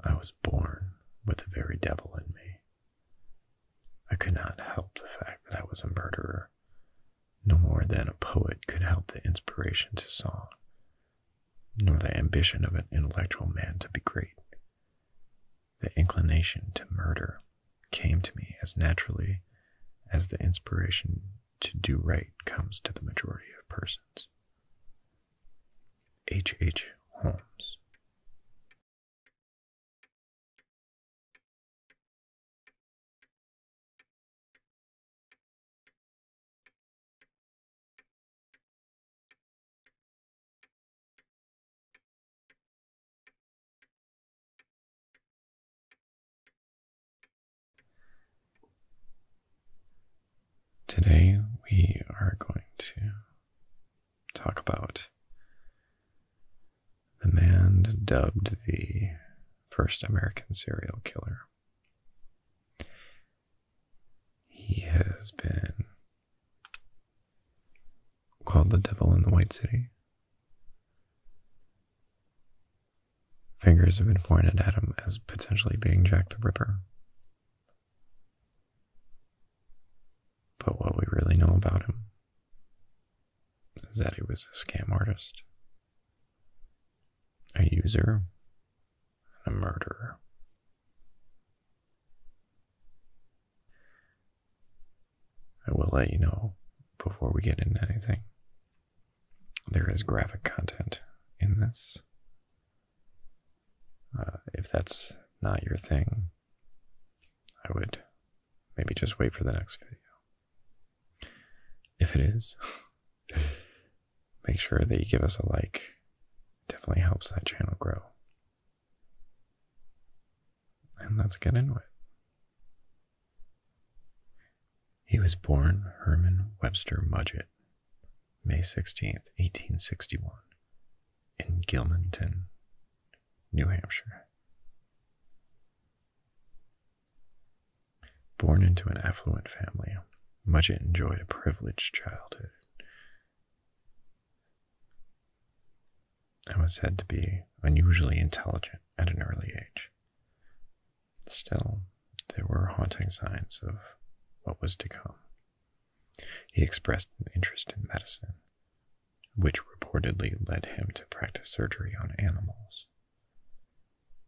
I was born with the very devil in me. I could not help the fact that I was a murderer, no more than a poet could help the inspiration to song, nor the ambition of an intellectual man to be great. The inclination to murder came to me as naturally as the inspiration to do right comes to the majority of persons. H. H. Holmes. Today we are going to talk about the man dubbed the first American serial killer. He has been called the devil in the White City. Fingers have been pointed at him as potentially being Jack the Ripper. But what we really know about him is that he was a scam artist, a user, and a murderer. I will let you know before we get into anything. There is graphic content in this, uh, if that's not your thing, I would maybe just wait for the next video. If it is, make sure that you give us a like. It definitely helps that channel grow. And let's get into it. He was born Herman Webster Mudgett May 16, 1861, in Gilmanton, New Hampshire. Born into an affluent family, Mudgett enjoyed a privileged childhood. and was said to be unusually intelligent at an early age. Still, there were haunting signs of what was to come. He expressed an interest in medicine, which reportedly led him to practice surgery on animals.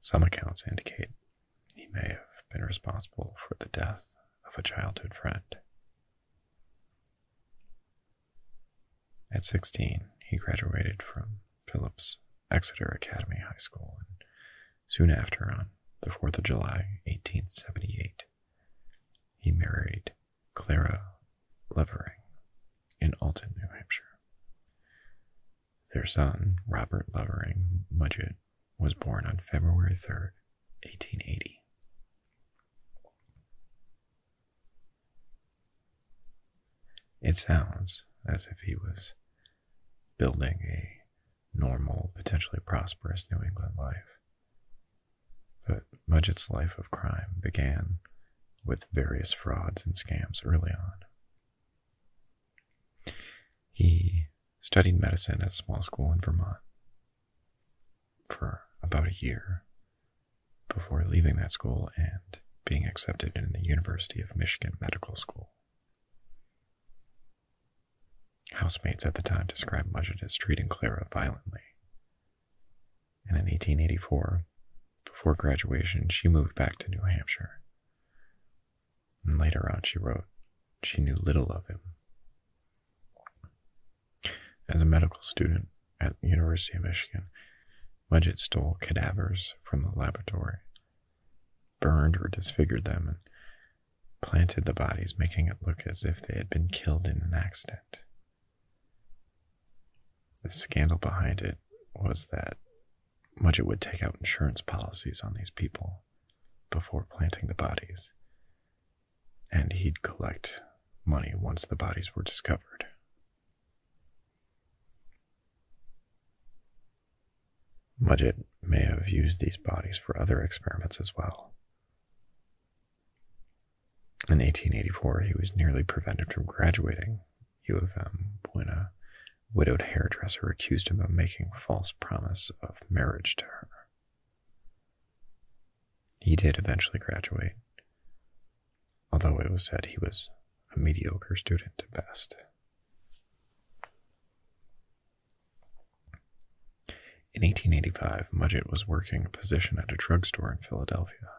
Some accounts indicate he may have been responsible for the death of a childhood friend. At 16, he graduated from Phillips Exeter Academy High School and Soon after, on the 4th of July, 1878, he married Clara Levering in Alton, New Hampshire. Their son, Robert Levering Mudgett, was born on February 3, 1880. It sounds as if he was building a normal, potentially prosperous New England life. But Mudgett's life of crime began with various frauds and scams early on. He studied medicine at a small school in Vermont for about a year before leaving that school and being accepted in the University of Michigan Medical School. Housemates at the time described Mudgett as treating Clara violently. And in 1884, before graduation, she moved back to New Hampshire. And later on, she wrote, she knew little of him. As a medical student at the University of Michigan, Mudgett stole cadavers from the laboratory, burned or disfigured them and planted the bodies, making it look as if they had been killed in an accident. The scandal behind it was that Mudgett would take out insurance policies on these people before planting the bodies, and he'd collect money once the bodies were discovered. Mudgett may have used these bodies for other experiments as well. In 1884, he was nearly prevented from graduating U of M when a widowed hairdresser accused him of making false promise of marriage to her. He did eventually graduate, although it was said he was a mediocre student at best. In 1885, Mudgett was working a position at a drugstore in Philadelphia.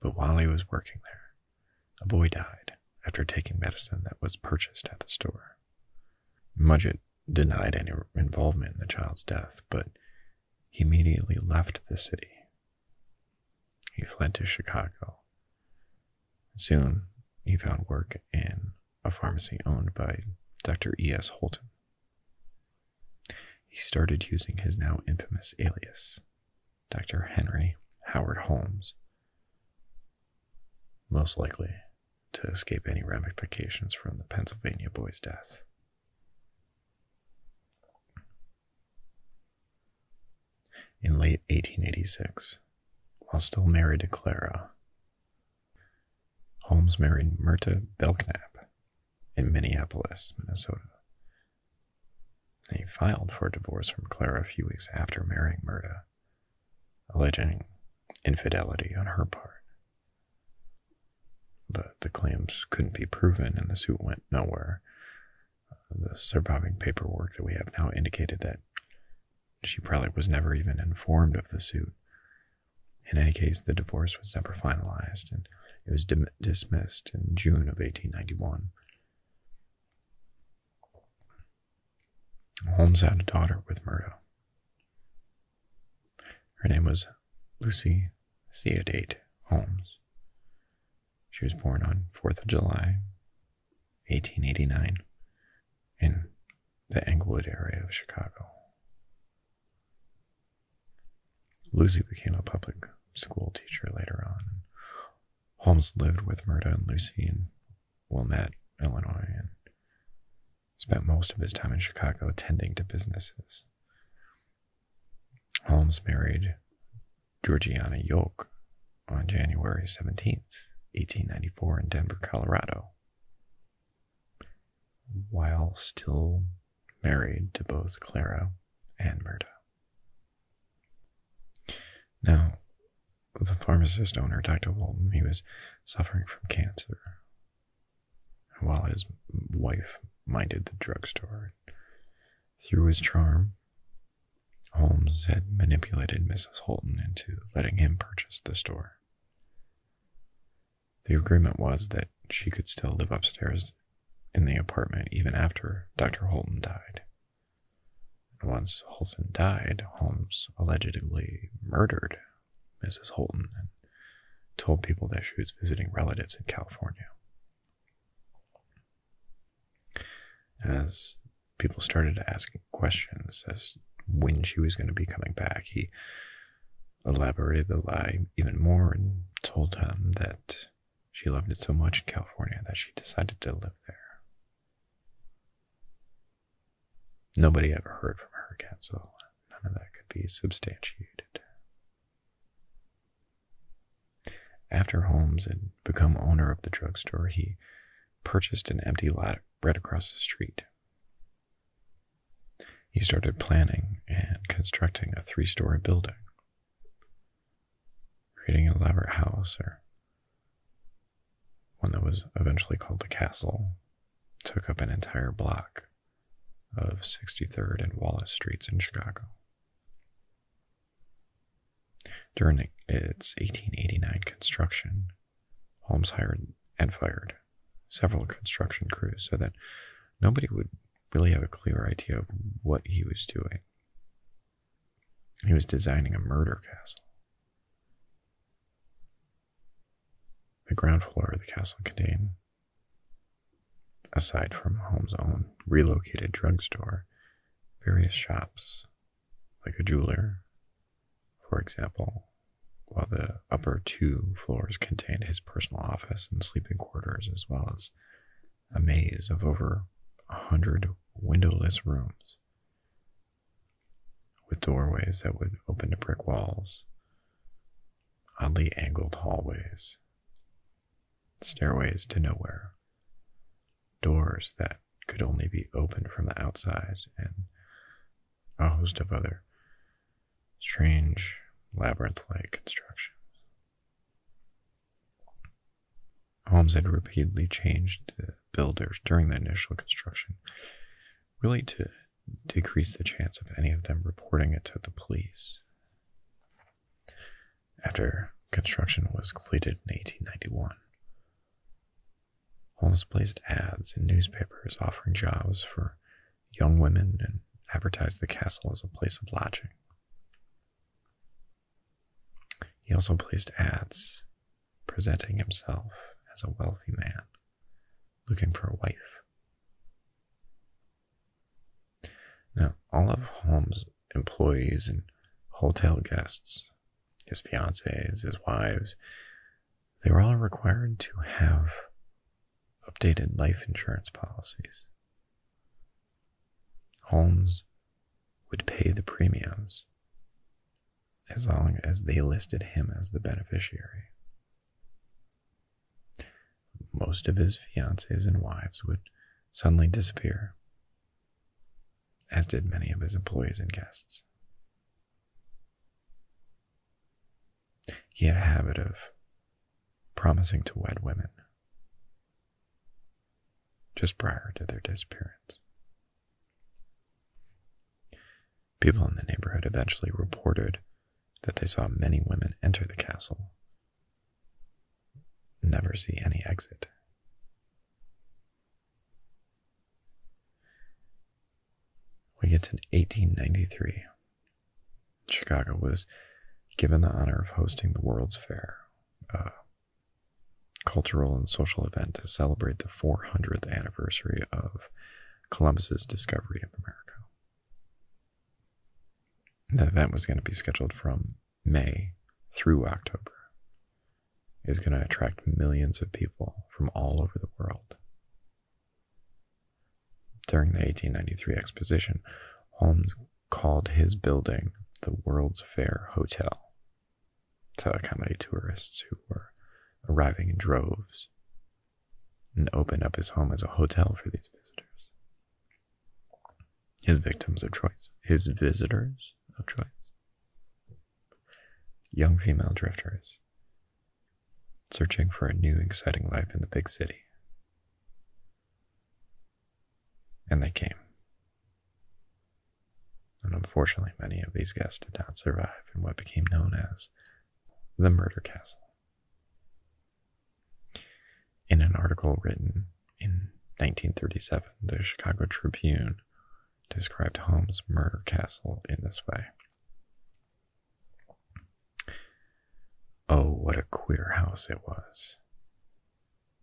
But while he was working there, a boy died after taking medicine that was purchased at the store. Mudgett denied any involvement in the child's death, but he immediately left the city. He fled to Chicago, Soon, he found work in a pharmacy owned by Dr. E.S. Holton. He started using his now infamous alias, Dr. Henry Howard Holmes, most likely to escape any ramifications from the Pennsylvania boy's death in late 1886 while still married to Clara. Holmes married Myrta Belknap in Minneapolis, Minnesota. He filed for divorce from Clara a few weeks after marrying Myrta, alleging infidelity on her part. But the claims couldn't be proven and the suit went nowhere the surviving paperwork that we have now indicated that she probably was never even informed of the suit. In any case, the divorce was never finalized and it was dismissed in June of 1891. Holmes had a daughter with Murdo. Her name was Lucy Theodate Holmes. She was born on 4th of July, 1889 in the Englewood area of Chicago. Lucy became a public school teacher later on. Holmes lived with Murda and Lucy in Wilmette, Illinois, and spent most of his time in Chicago attending to businesses. Holmes married Georgiana Yolk on January 17th, 1894, in Denver, Colorado. While still married to both Clara and Murda. Now, the pharmacist owner, Dr. Walton, he was suffering from cancer. While his wife minded the drugstore, through his charm, Holmes had manipulated Mrs. Holton into letting him purchase the store. The agreement was that she could still live upstairs in the apartment even after Dr. Holton died. once Holton died, Holmes allegedly murdered Mrs. Holton and told people that she was visiting relatives in California. As people started asking questions as when she was going to be coming back, he elaborated the lie even more and told him that she loved it so much in California that she decided to live there. Nobody ever heard from her again, so none of that could be substantiated. After Holmes had become owner of the drugstore, he purchased an empty lot right across the street. He started planning and constructing a three story building, creating an elaborate house or one that was eventually called the castle, took up an entire block of 63rd and Wallace Streets in Chicago. During its 1889 construction, Holmes hired and fired several construction crews so that nobody would really have a clear idea of what he was doing. He was designing a murder castle. The ground floor of the castle contained, aside from Holmes' own relocated drugstore, various shops like a jeweler, for example, while the upper two floors contained his personal office and sleeping quarters, as well as a maze of over a hundred windowless rooms with doorways that would open to brick walls, oddly angled hallways, stairways to nowhere, doors that could only be opened from the outside, and a host of other strange labyrinth like constructions. Holmes had repeatedly changed the builders during the initial construction, really to decrease the chance of any of them reporting it to the police after construction was completed in 1891. Holmes placed ads in newspapers offering jobs for young women and advertised the castle as a place of lodging. He also placed ads presenting himself as a wealthy man looking for a wife. Now, all of Holmes' employees and hotel guests his fiancées, his wives, they were all required to have updated life insurance policies. Holmes would pay the premiums as long as they listed him as the beneficiary. Most of his fiancées and wives would suddenly disappear as did many of his employees and guests. He had a habit of promising to wed women just prior to their disappearance. People in the neighborhood eventually reported that they saw many women enter the castle, never see any exit. We get to 1893. Chicago was given the honor of hosting the World's Fair, a cultural and social event to celebrate the 400th anniversary of Columbus's discovery of America. The event was going to be scheduled from May through October is going to attract millions of people from all over the world. During the 1893 exposition, Holmes called his building the World's Fair Hotel to accommodate tourists who were arriving in droves and opened up his home as a hotel for these visitors. His victims of choice, his visitors of choice. Young female drifters searching for a new exciting life in the big city. And they came. And unfortunately, many of these guests did not survive in what became known as the Murder Castle. In an article written in 1937, the Chicago Tribune described Holmes' murder castle in this way. Oh, what a queer house it was.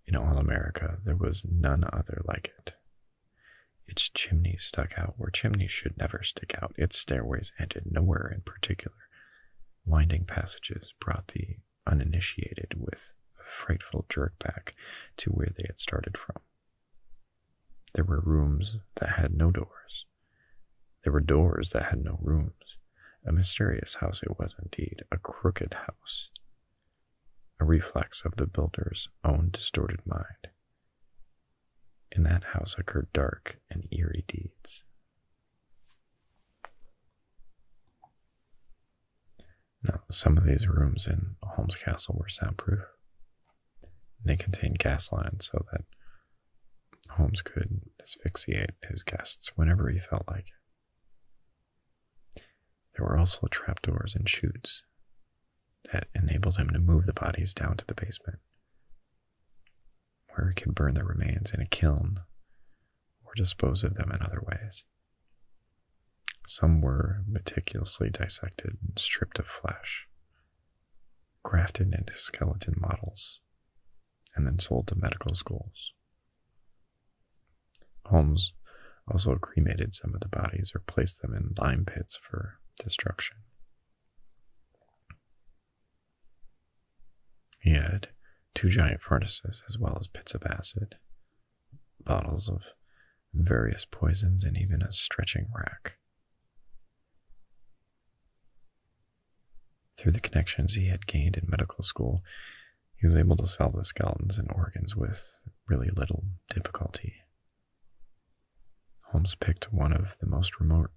In all America, there was none other like it. Its chimneys stuck out where chimneys should never stick out. Its stairways ended nowhere in particular. Winding passages brought the uninitiated with a frightful jerk back to where they had started from. There were rooms that had no doors. There were doors that had no rooms. A mysterious house it was indeed, a crooked house. A reflex of the builder's own distorted mind. In that house occurred dark and eerie deeds. Now, some of these rooms in Holmes Castle were soundproof. They contained gas lines so that Holmes could asphyxiate his guests whenever he felt like it. There were also trapdoors and chutes that enabled him to move the bodies down to the basement, where he could burn the remains in a kiln or dispose of them in other ways. Some were meticulously dissected and stripped of flesh, grafted into skeleton models, and then sold to medical schools. Holmes also cremated some of the bodies or placed them in lime pits for destruction. He had two giant furnaces as well as pits of acid, bottles of various poisons, and even a stretching rack. Through the connections he had gained in medical school, he was able to sell the skeletons and organs with really little difficulty. Holmes picked one of the most remote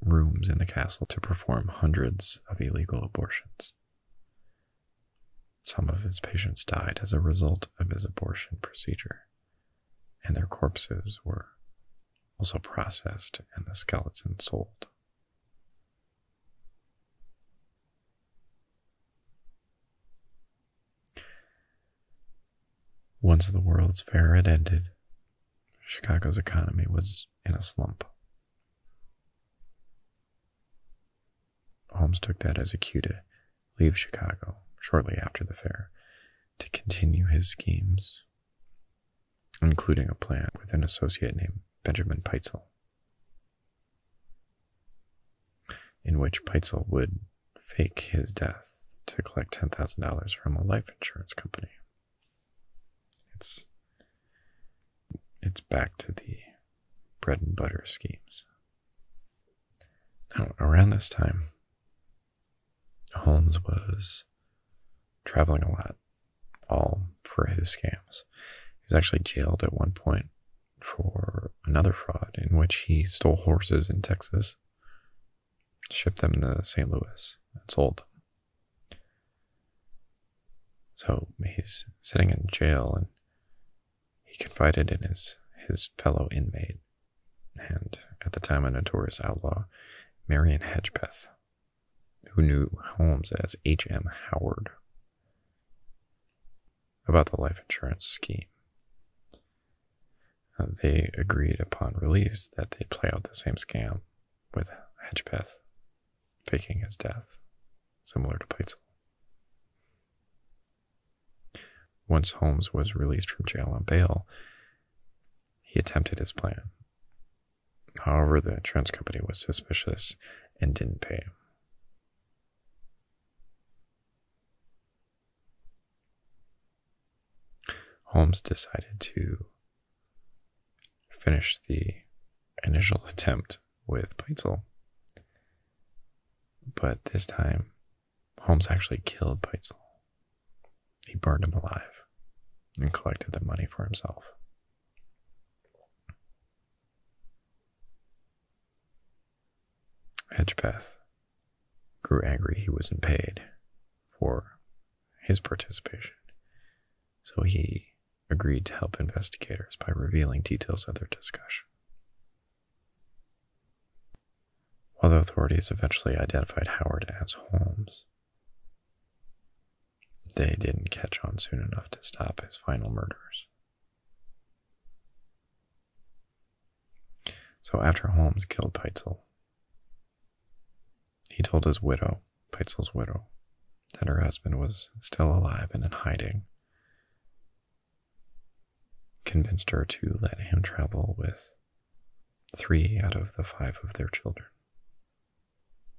rooms in the castle to perform hundreds of illegal abortions. Some of his patients died as a result of his abortion procedure, and their corpses were also processed and the skeletons sold. Once the World's Fair had ended, Chicago's economy was in a slump. Holmes took that as a cue to leave Chicago shortly after the fair to continue his schemes, including a plan with an associate named Benjamin Peitzel, in which Peitzel would fake his death to collect $10,000 from a life insurance company it's back to the bread and butter schemes. Now, around this time, Holmes was traveling a lot, all for his scams. He was actually jailed at one point for another fraud in which he stole horses in Texas, shipped them to St. Louis, and sold them. So he's sitting in jail and he confided in his, his fellow inmate and at the time a notorious outlaw, Marion Hedgepeth, who knew Holmes as H.M. Howard, about the life insurance scheme. Uh, they agreed upon release that they'd play out the same scam with Hedgepeth faking his death, similar to Peitzel. Once Holmes was released from jail on bail, he attempted his plan. However, the Trans company was suspicious and didn't pay him. Holmes decided to finish the initial attempt with Peitzel. But this time, Holmes actually killed Peitzel. He burned him alive and collected the money for himself. Hedgepeth grew angry he wasn't paid for his participation, so he agreed to help investigators by revealing details of their discussion. While the authorities eventually identified Howard as Holmes, they didn't catch on soon enough to stop his final murders. So after Holmes killed Peitzel, he told his widow, Peitzel's widow, that her husband was still alive and in hiding convinced her to let him travel with three out of the five of their children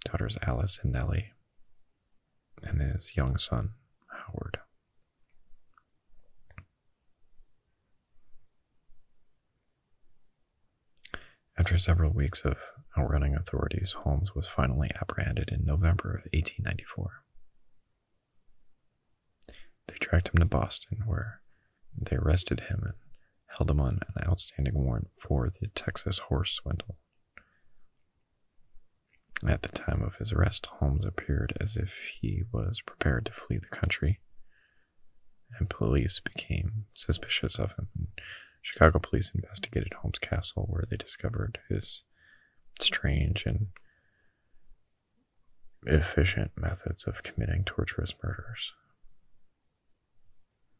daughters Alice and Nellie, and his young son, Howard. After several weeks of outrunning authorities, Holmes was finally apprehended in November of 1894. They dragged him to Boston, where they arrested him and held him on an outstanding warrant for the Texas horse swindle. At the time of his arrest, Holmes appeared as if he was prepared to flee the country, and police became suspicious of him. Chicago police investigated Holmes' castle, where they discovered his strange and efficient methods of committing torturous murders.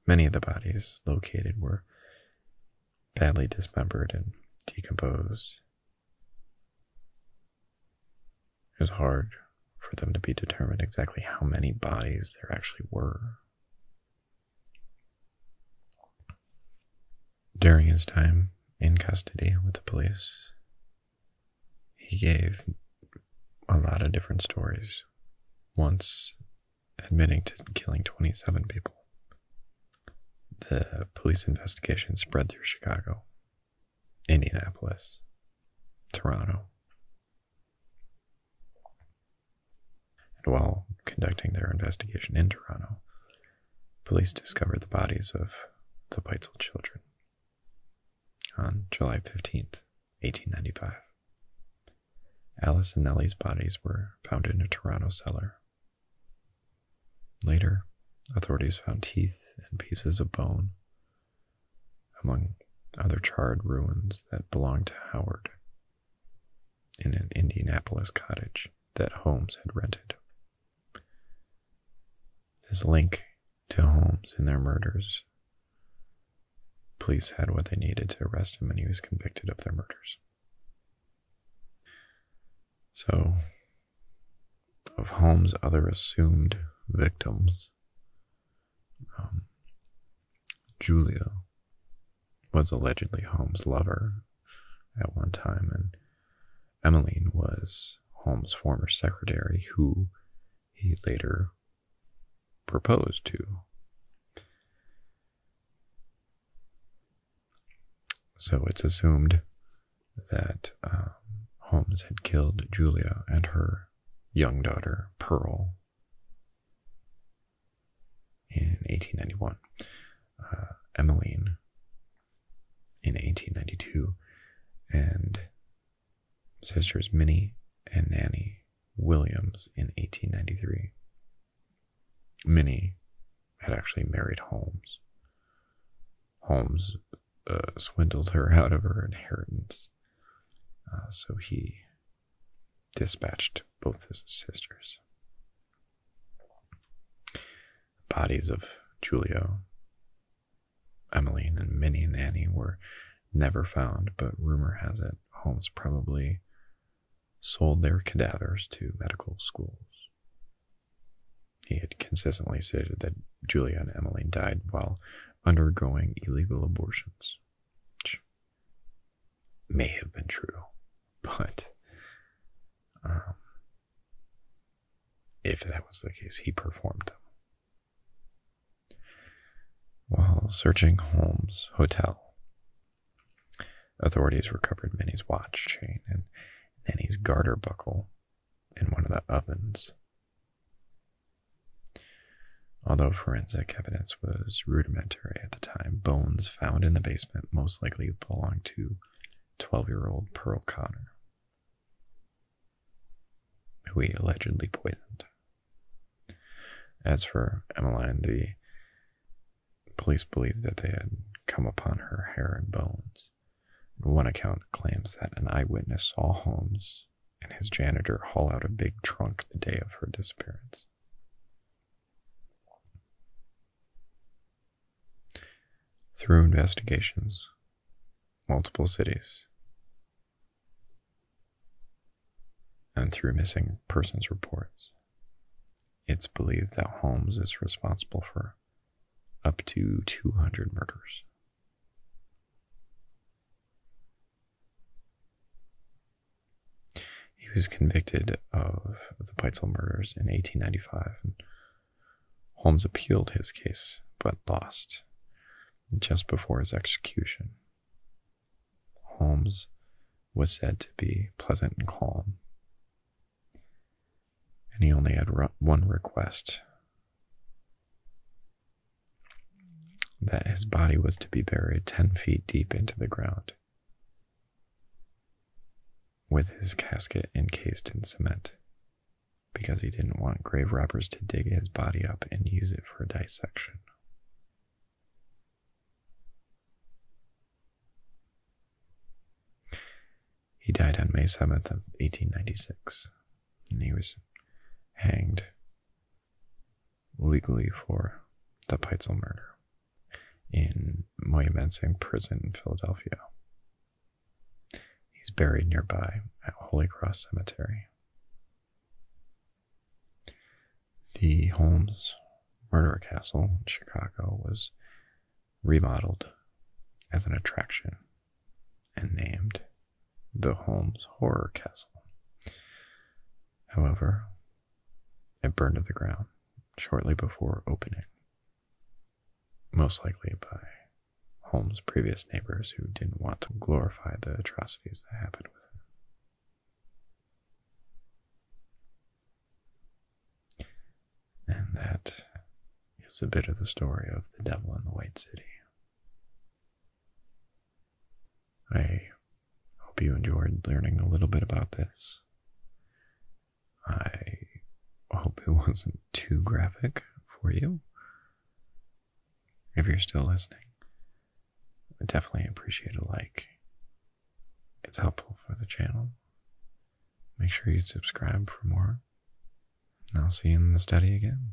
Many of the bodies located were badly dismembered and decomposed. It was hard for them to be determined exactly how many bodies there actually were. During his time in custody with the police, he gave a lot of different stories, once admitting to killing 27 people. The police investigation spread through Chicago, Indianapolis, Toronto. And while conducting their investigation in Toronto, police discovered the bodies of the Peitzel children on July 15, 1895. Alice and Nellie's bodies were found in a Toronto cellar. Later, authorities found teeth and pieces of bone, among other charred ruins that belonged to Howard in an Indianapolis cottage that Holmes had rented. His link to Holmes and their murders. Police had what they needed to arrest him, and he was convicted of their murders. So, of Holmes' other assumed victims, um, Julia was allegedly Holmes' lover at one time, and Emmeline was Holmes' former secretary, who he later proposed to. So it's assumed that um, Holmes had killed Julia and her young daughter, Pearl, in 1891, uh, Emmeline in 1892, and sisters Minnie and Nanny Williams in 1893. Minnie had actually married Holmes. Holmes uh, swindled her out of her inheritance, uh, so he dispatched both his sisters. Bodies of Julio, Emmeline, and Minnie and Annie were never found, but rumor has it Holmes probably sold their cadavers to medical schools. He had consistently stated that Julia and Emmeline died while undergoing illegal abortions which may have been true, but um, if that was the case, he performed them. While searching Holmes' hotel, authorities recovered Minnie's watch chain and Nanny's garter buckle in one of the ovens. Although forensic evidence was rudimentary at the time, bones found in the basement most likely belonged to 12 year old Pearl Connor, who he allegedly poisoned. As for Emmeline, the police believed that they had come upon her hair and bones. One account claims that an eyewitness saw Holmes and his janitor haul out a big trunk the day of her disappearance. Through investigations, multiple cities, and through missing persons reports, it's believed that Holmes is responsible for up to 200 murders. He was convicted of the Peitzel murders in 1895, and Holmes appealed his case but lost just before his execution. Holmes was said to be pleasant and calm, and he only had one request that his body was to be buried 10 feet deep into the ground with his casket encased in cement, because he didn't want grave robbers to dig his body up and use it for dissection. He died on May 7th of 1896, and he was hanged legally for the Peitzel murder in Monumenting Prison in Philadelphia. He's buried nearby at Holy Cross Cemetery. The Holmes Murder Castle in Chicago was remodeled as an attraction and named the Holmes Horror Castle. However, it burned to the ground shortly before opening, most likely by Holmes' previous neighbors who didn't want to glorify the atrocities that happened with him. And that is a bit of the story of the devil in the White City. I hope you enjoyed learning a little bit about this. I hope it wasn't too graphic for you. If you're still listening, I definitely appreciate a like. It's helpful for the channel. Make sure you subscribe for more. And I'll see you in the study again.